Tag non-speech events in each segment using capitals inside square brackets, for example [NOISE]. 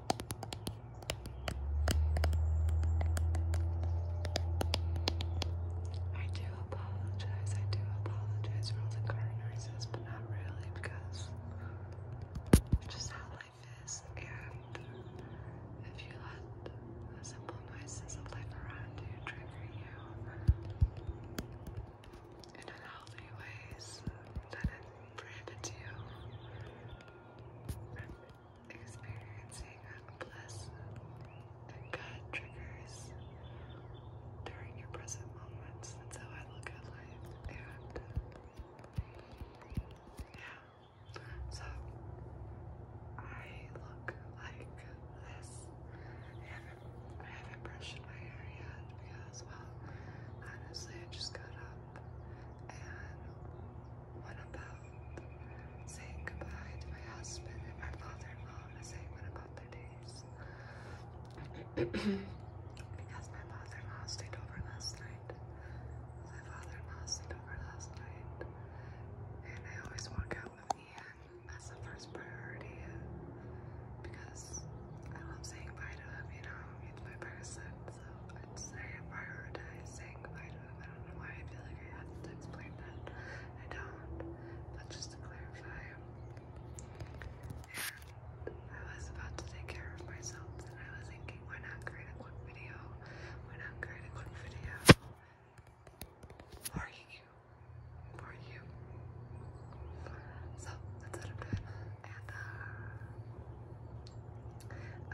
I do apologize, I do apologize for all the car noises, but not really because it's just how life is. And if you let the simple noises of life around you trigger you in unhealthy ways, then it prohibits you from experiencing unpleasant and triggers during your present moments. That's how I look at life. And yeah, so I look like this. I haven't brushed my hair yet because, well, honestly, I just got up and one about saying goodbye to my husband and my father-in-law and saying one about their days. [CLEARS THROAT] because my father-in-law stayed over last night. My father-in-law stayed over last night. And I always walk out with Ian That's the first priority because I love saying goodbye to him, you know, it's my best friend. So I'd prioritizing I don't know why I feel like I have to explain that. I don't. But just to clarify. I was about to take care of myself and I was thinking why not create a quick video? Why not create a quick video? For you. For you. So that's what I'm doing and uh,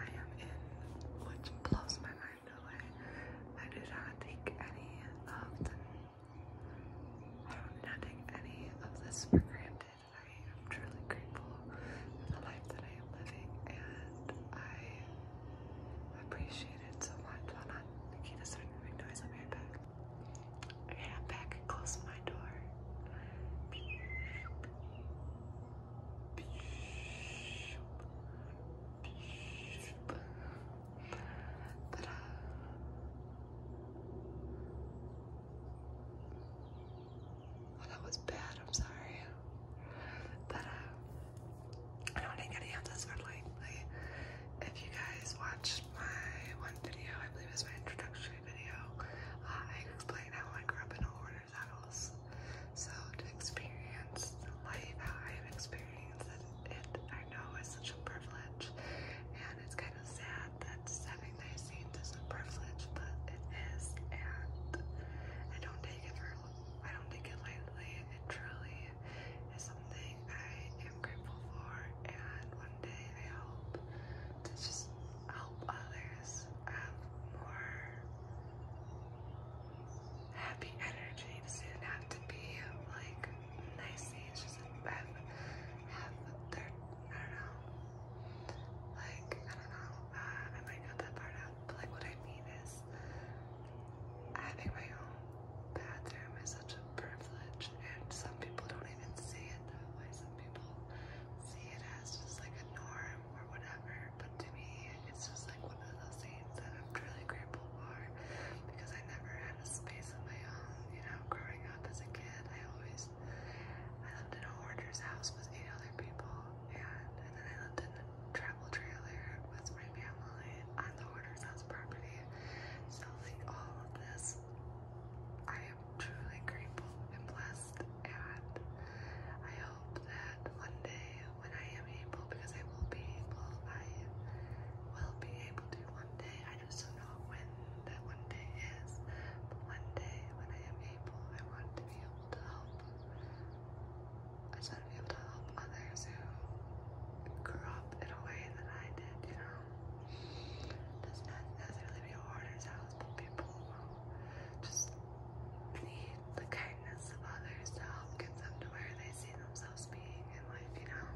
I am in, which blows my mind away. I did not take any of the, I did not take any of this for granted. I am truly grateful for the life that I am living, and I appreciate it so much. Well, not Nikita starting to noise. I'll be right back. Okay, I'm back close my door. Uh, that was bad. I'm sorry. Uh, I don't think any of this like, if you guys watched my one video, I believe it my introductory video, uh, I explained how I grew up in a hoarder so to experience life how I've experienced it, I know is such a privilege, and it's kind of sad that having nice scenes is a privilege, but it is, and I don't take it for I don't take it lightly. It truly is something I am grateful for, and one day I hope to just help others areas more happy energy. It doesn't have to be like nicey, it's just have, have I don't know, like, I don't know, uh, I might cut that part out, but like what I mean is having my own bathroom is such a privilege and some people don't even see it that way, some people see it as just like a norm or whatever, but to me, it's just like one of those things that I'm truly grateful for because I never had a space of my own, you know, growing up as a kid, I always, I lived in a hoarder's house with eight other people, and, and then I lived in a travel trailer with my family on the hoarder's house property, so like all of this, I am i truly grateful and blessed, and I hope that one day when I am able, because I will be able, I will be able to one day. I just don't know when that one day is, but one day when I am able, I want to be able to help. I want to be able to help others who grew up in a way that I did, you know. Does not necessarily be thoughts, people just need the kindness of others to help get them to where they see themselves being in life, you know?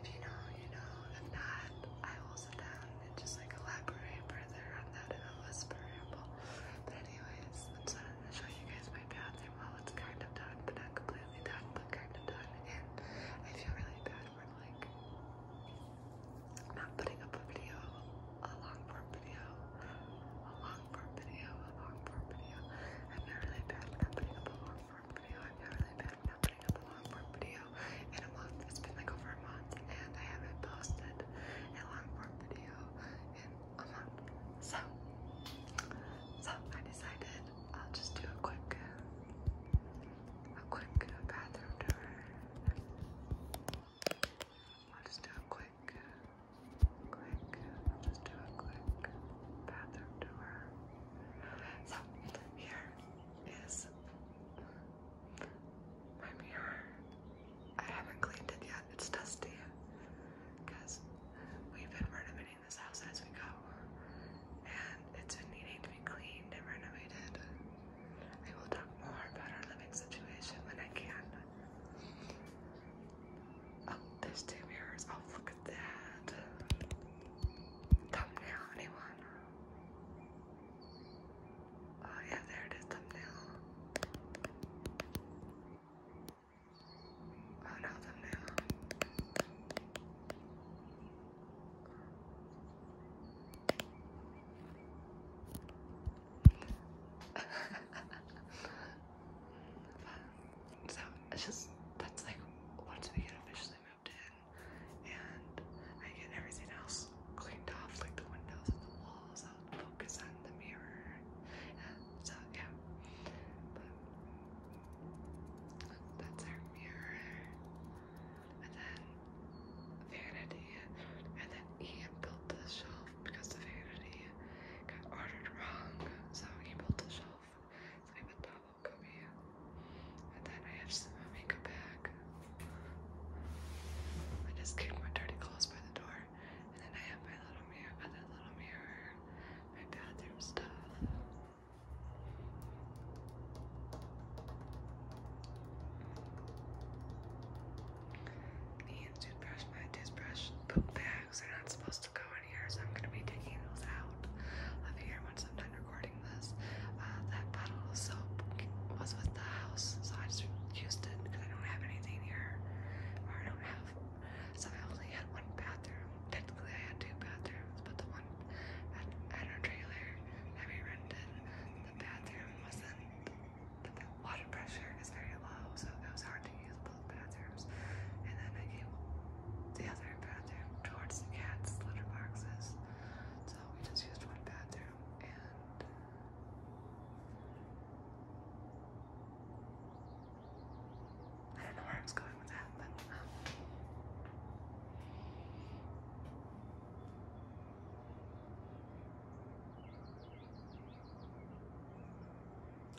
If you know, you know. If not, I will sit down and just like elaborate further on that in a whisper But anyways, I'm just to show you guys my bathroom while it's kind of done, but not completely done, but kind of done. And I feel really bad for like not putting up a video, a long form video, a long form video, a long form video. I'm not really bad at not putting up a long form video. I'm not really bad at not putting up a long form video in a month. It's been like over a month and I haven't posted a long form video in a month. So, so I decided I'll just do a quick, a quick bathroom tour. I'll do a quick, quick, I'll do a quick bathroom tour. So, here is my mirror. I haven't cleaned it yet, it's dusty because we've been renovating this house as we go, and it's been needing to be cleaned and renovated. I will talk more about our living situation when I can. Oh, there's two mirrors. Oh, look at that. Thumbnail, anyone? Oh, yeah, there it is. Thumbnail. Oh, no, thumbnail. [LAUGHS] so it's just that's like once we get officially moved in and I get everything else cleaned off, like the windows and the walls, I'll focus on the mirror. so yeah. But that's our mirror and then Vanity, and then Ian built the shelf because the Vanity got ordered wrong, so he built the shelf. So I put Double Cubby, and then I have some makeup bag. I just kicked my dirty clothes by the door, and then I have my little mirror, other little mirror, my bathroom stuff need toothbrush, my toothbrush, poop bags are not supposed to go in here, so I'm gonna be taking those out of here once I'm done recording this. Uh, that bottle of soap was with the house, so I just used it because I don't have anything here, or I don't have. So I only had one bathroom. Technically, I had two bathrooms, but the one at, at our trailer that we rented, the bathroom wasn't but the water pressure is very low, so it was hard to use both bathrooms. And then I gave the other bathroom towards the cat's litter boxes, so we just used one bathroom and. I don't know where I was going with that, um,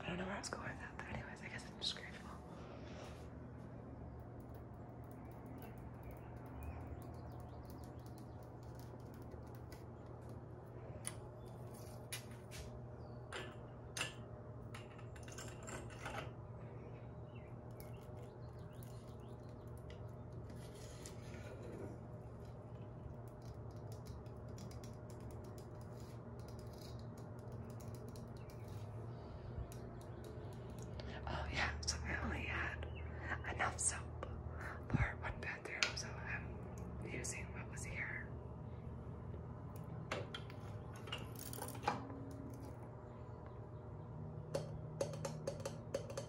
I don't know where I was going with that, but anyways, I guess I'm just grateful. Oh yeah, so I only had enough soap for one bathroom, so I'm using what was here.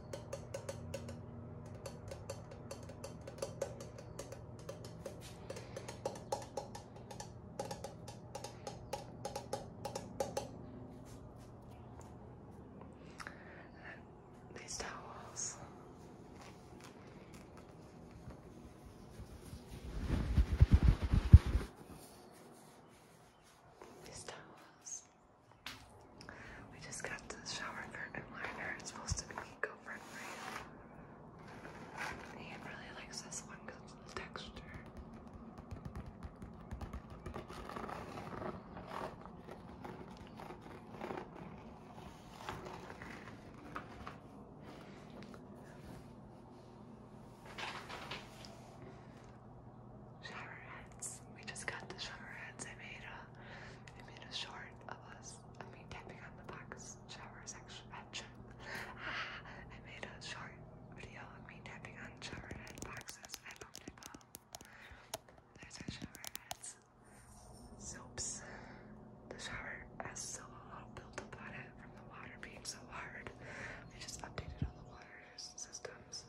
And these towels. These towels. We just got the shower curtain liner. It's supposed to be eco-friendly. Ian really likes this one because of texture. Shower We just got the shower I made I made a short of us, I mean, tapping on the box shower section. Uh, [LAUGHS] I made a short video of me tapping on shower head boxes. I love people. There's a shower heads. Soaps. The shower has so a little built up on it from the water being so hard. They just updated all the water systems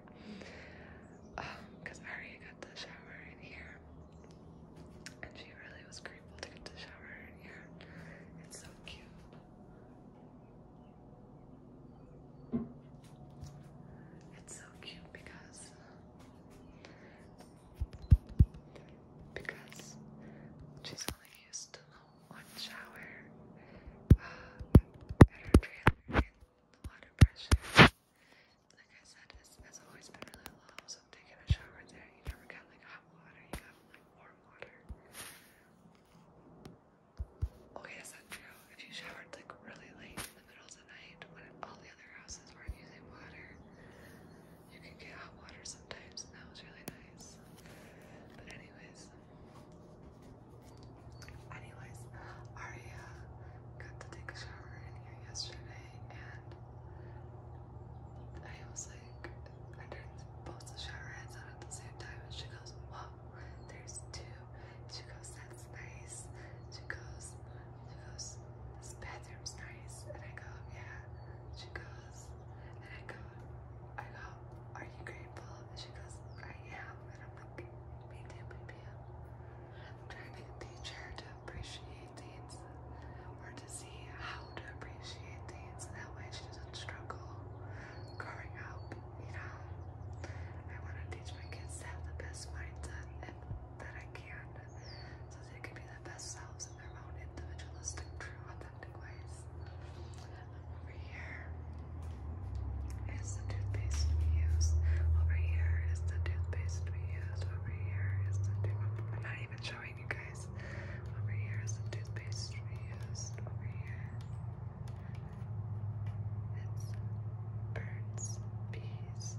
because um, got the shower in here, and she really was grateful to get the shower in here. It's so cute. It's so cute because because she's only used to the one shower uh, and the water pressure like I said, it's, it's always been really low, so I'm taking a shower there. You never got like hot water, you got like warm water. Okay, that's not true. If you showered like really late in the middle of the night when all the other houses weren't using water, you could get hot water sometimes, and that was really nice. But, anyways, Anyways, Aria uh, got to take a shower in here yesterday, and I was like, I turned both the shower heads at the same time, and she goes, Whoa, there's two. She goes, That's nice. She goes, She goes, This bathroom's nice. And I go, Yeah. She goes, And I go, I go, Are you grateful? And she goes, I am. And I'm like, Me baby. I'm trying to teach her to appreciate things or to see how to appreciate things, and that way she doesn't struggle growing up, you know. I want to teach my kids to have the best mindset that I can so they can be the best selves in their own individualistic, true, authentic ways. I'm over here is the toothpaste we use. Over here is the toothpaste we use. Over here is the toothpaste. I'm not even showing you guys. Over here is the toothpaste we used. Over here. It's birds, bees,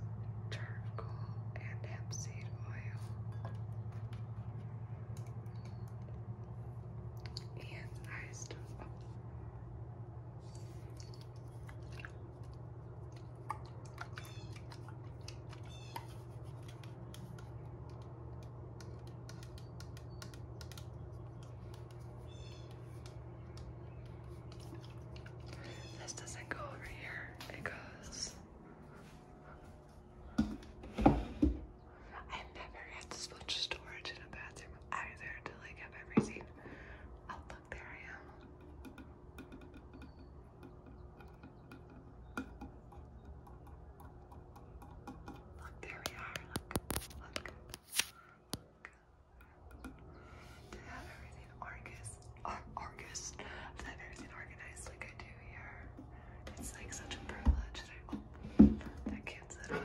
charcoal, and hempseed oil. And I still. Oh. This doesn't go over here, it goes. i never had to switch storage in a bathroom either to like have everything Look, there we are. Look, have everything Argus, Argus, to have everything organized like I do here, it's like such a privilege. That I,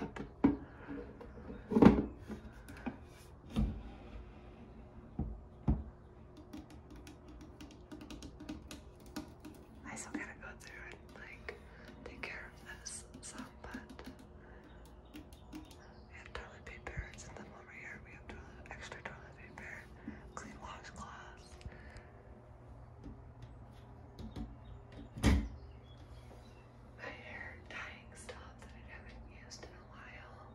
oh, I still gotta go through and like take care of this some, but we have toilet paper. It's in the over here. We have extra toilet paper, clean washcloths my hair dyeing stuff that I haven't used in a while.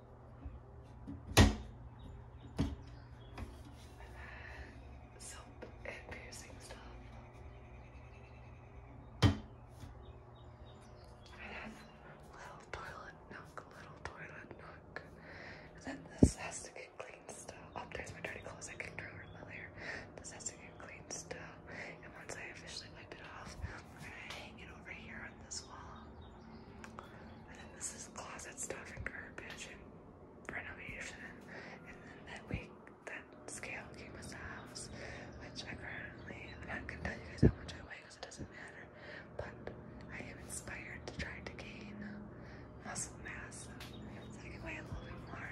soap and piercing stuff. I have little toilet nook, little toilet nook. then this has to get cleaned Oh, there's my dirty clothes I kicked over earlier. This has to get cleaned still. And once I officially wipe it off, I'm over here on this wall. And then this is closet stuff and garbage and renovation. And then that week, that scale came with the house, which I currently, I'm not gonna tell you guys how much I weigh because it doesn't matter, but I am inspired to try to gain muscle mass so I can weigh a little bit more.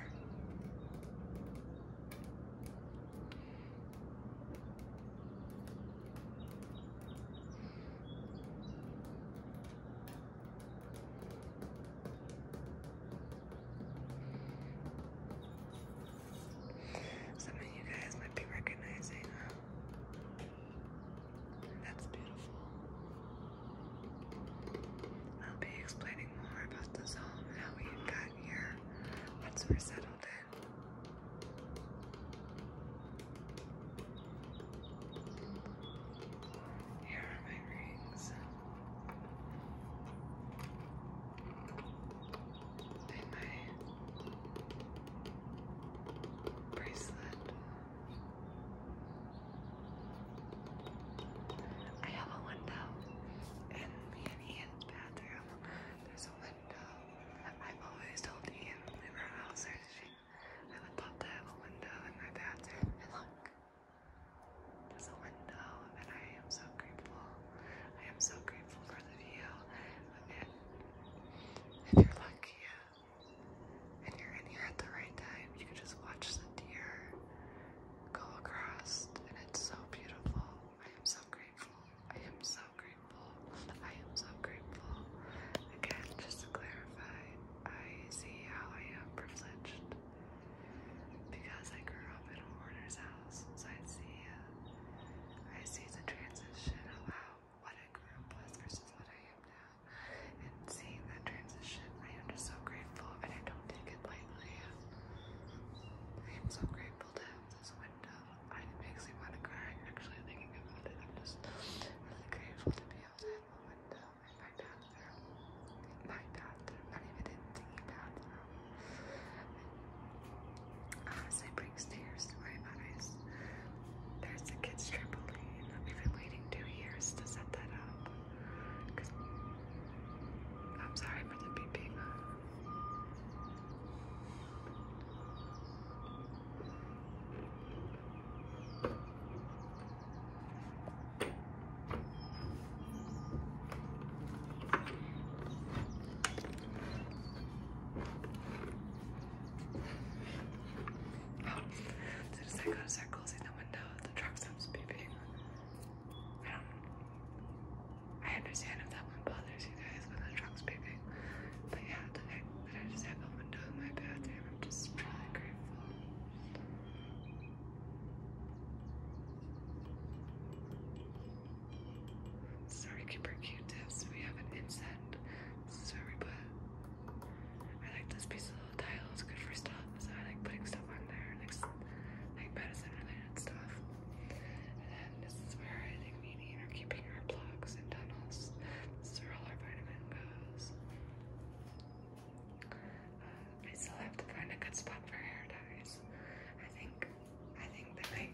Some of you guys might be recognizing uh, that's beautiful. I'll be explaining more about the home and how we got here once we're settled in. Here are my rings. And my bracelet. I have a window in me and bathroom. There's a window. I've always told Ian in our house searching I would love to window in my bathroom and look there's a window and I am so grateful I am so grateful for the view and if you're lucky uh, and you're in here at the right time you can just watch the deer go across and it's so beautiful I am so grateful I am so grateful. I am so grateful. Again, just to clarify, I see how I am privileged because I grew up in a hoarder's house. So I see, uh, I see the transition of how what I grew up with versus what I am now. And seeing that transition, I am just so grateful, and I don't take it lightly. I am so grateful to this window. I makes me want to cry. Actually, thinking about it, I'm just really grateful to be outside the window in my bathroom. My bathroom, not even in the bathroom. Honestly, brings tears to my eyes. There's the kids' trampoline. I've been waiting two years to set that up. Cause I'm sorry for the beeping. I go to start closing the window, the truck stops beeping. I don't I understand if that one bothers you guys when the truck's beeping, but yeah, the that I just have a window in my bathroom, I'm just really grateful. Sorry, Keeper Q-tips. We have an incense. This is where we put. I like this piece of little tile. It's good for stuff. So I like putting stuff on there, like medicine related stuff. And this is where I think we need are keeping our plugs and tunnels. This all our vitamin goes. Uh, I still have to find a good spot for hair dyes. I think I think that I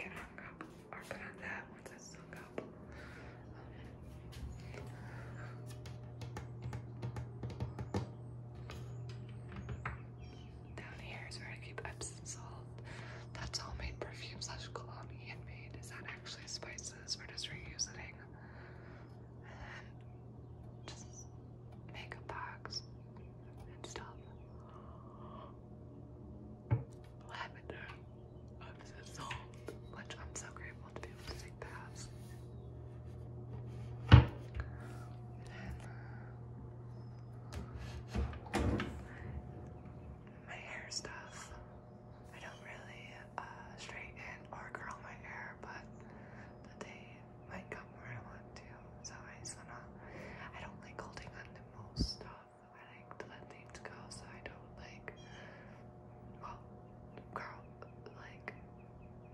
can hung up or put on that once it's hung up. Down here is where I keep Epsom salt. That's all made perfume slash cologne handmade. Is that actually spices? or just reusing. And just makeup box and stuff. Lavender, Epsom salt, which I'm so grateful to be able to take past my hair stuff. I don't really uh, straighten or curl my hair, but the day might come where I want to. So I just wanna, I don't like holding on to most stuff. I like to let things go so I don't like, well, curl, like,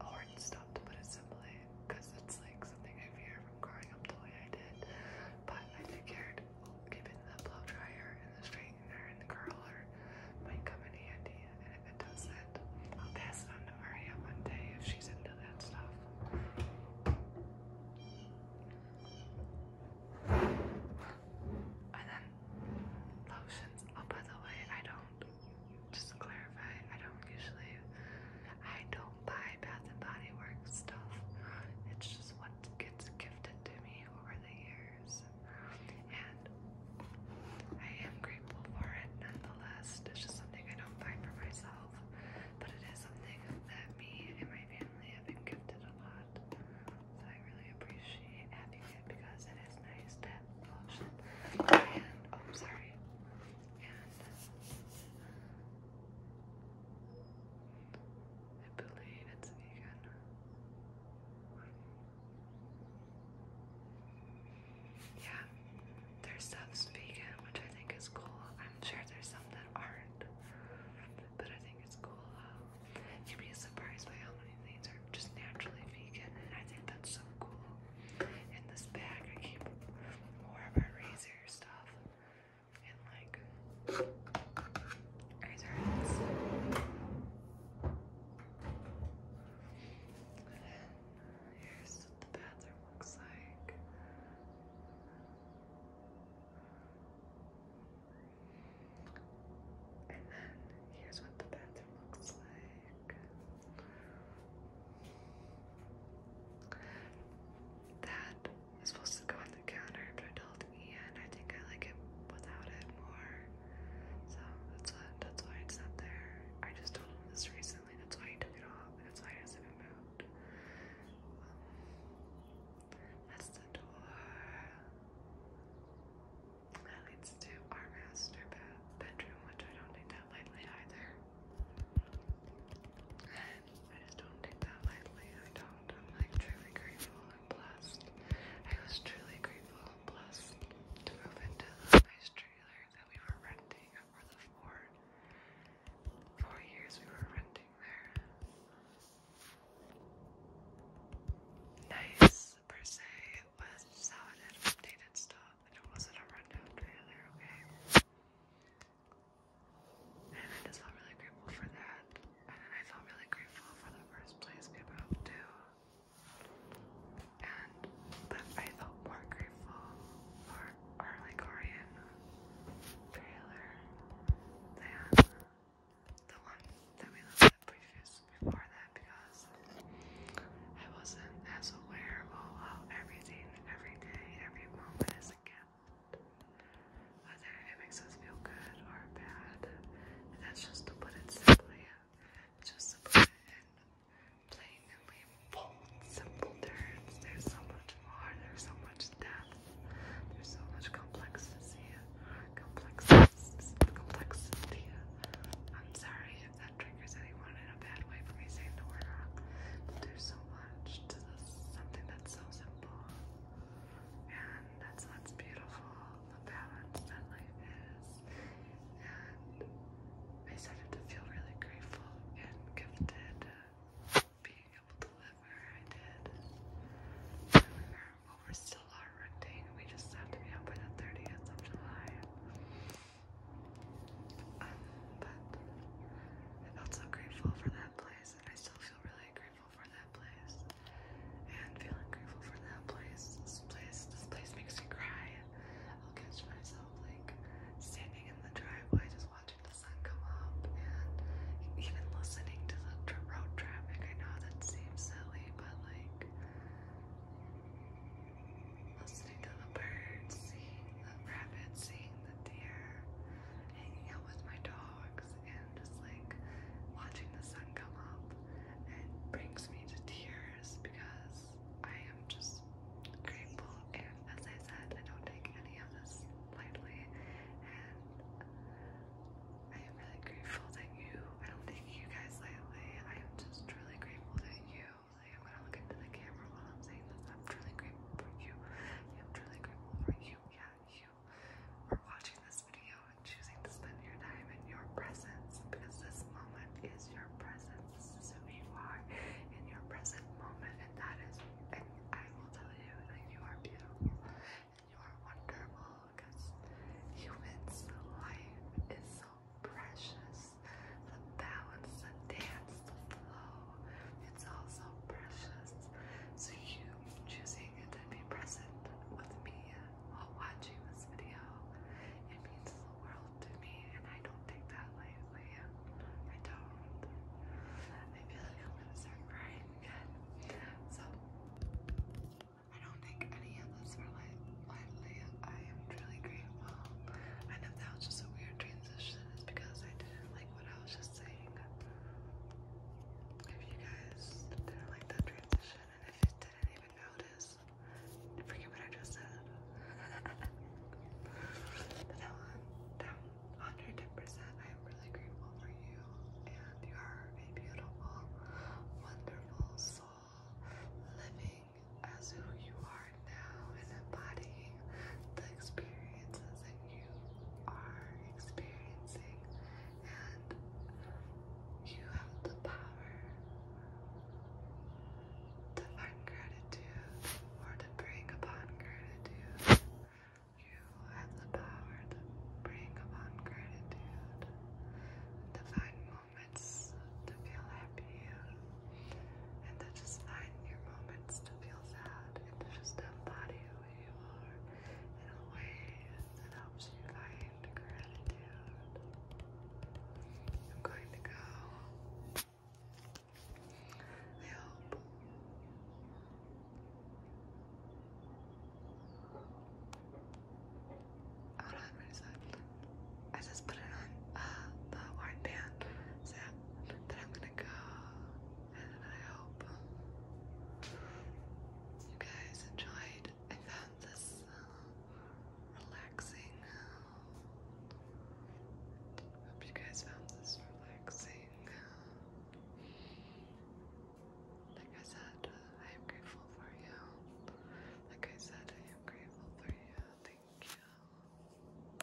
hoard stuff to put it simply because it's like something I fear from growing up the way I did. But I figured keeping the blow dryer and the straightener and the curler might come in handy. And if it doesn't, I'll pass it on to Maria one day if she's into that stuff. And then lotions. Oh, by the way, I don't. Just clarify, I don't usually I don't buy Bath and Body Works stuff. It's just what gets gifted to me over the years. And I am grateful for it nonetheless. It's just something I don't buy for myself. But it is something that me and my family have been gifted a lot. So I really appreciate having it because it is nice to have lotion. And oh I'm sorry. I believe it's vegan. Yeah, their stuff's vegan, which I think is cool. I'm sure there's some that aren't, but I think it's cool. Um, you'd be surprised by how many things are just naturally vegan, and I think that's so cool. In this bag, I keep more of our razor stuff and like eyes hurts. Here's what the bathroom looks like. And then here's what the bathroom looks like. That supposed to go on the counter, but I told Ian I think I like it without it more. So that's what that's why it's not there. I just told him this recently, that's why he took it off, that's why it hasn't been moved. Um, that's the door. That leads to our master bedroom, which I don't think that lightly either. I just don't take that lightly. I don't. I'm like truly grateful and blessed. I was truly grateful and blessed to move into the nice trailer that we were renting for the four four years we were renting there. Nice per se. It was solid, updated stuff, it wasn't a rundown trailer. Okay. And I just felt really grateful for that. And then I felt really grateful for the first place we built too. And but I felt more grateful for our like Orion trailer than the one that we looked at previous before that because I wasn't as aware of how everything, every day, every moment is a gift whether it makes us feel good or bad. that's just to put it simply, just to put it plainly simple terms. There's so much more, there's so much depth, there's so much complexity, complexity, complexity. I'm sorry if that triggers anyone in a bad way for me saying the word there's so much to this, something that's so simple and that's what's beautiful, the balance that life is. And I started to feel really grateful and gifted being able to live where I did. well, we're still renting. We just have to be up by the 30th of July but I am so grateful for that place, and I still feel really grateful for that place. And feeling grateful for that place, this place, this place makes me cry. I'll catch myself like standing in the driveway, just watching the sun come up, and even listening to the road traffic. I know that seems silly, but like listening to the birds, seeing the rabbits, seeing the deer, hanging out with my dogs, and just like watching the sun come up. It brings me to tears because I am just grateful. And as I said, I don't take any of this lightly. And I am really grateful that you, I don't take you guys lightly. I am just really grateful that you I'm gonna look into the camera while I'm saying this. I'm truly grateful for you. I'm truly grateful for you. Yeah, you for watching this video and choosing to spend your time in your presence because this moment is your presence. This is who you are in your present moment, and that is. And I will tell you that you are beautiful and you are wonderful because humans' life is so precious. The balance, the dance, the flow, it's also precious. So you choosing to be present with me while watching this video, it means the world to me, and I don't take that lightly. I don't. I feel like I'm gonna start crying again. So I don't take any of this for light lightly. I am truly grateful. I know that was just a weird transition, is because I didn't like what I was just saying. If you guys didn't like that transition and if you didn't even notice, forget what I just said. [LAUGHS] but that one, 110%, I am really grateful for you and you are a beautiful, wonderful soul living as who you are are now and embodying the experiences that you are experiencing, and you have the power to find gratitude or to bring upon gratitude. You have the power to bring upon gratitude, to find moments to feel happy, and to just find your moment happens to feel sad and just embody who you are in a way that helps you find gratitude. I'm going to go. I I just put it on uh, the wine pan that I'm gonna go and I hope you guys enjoyed. I found this uh, relaxing. Uh, hope you guys found this relaxing. Uh, like I said, I am grateful for you. Like I said, I am grateful for you. Thank you.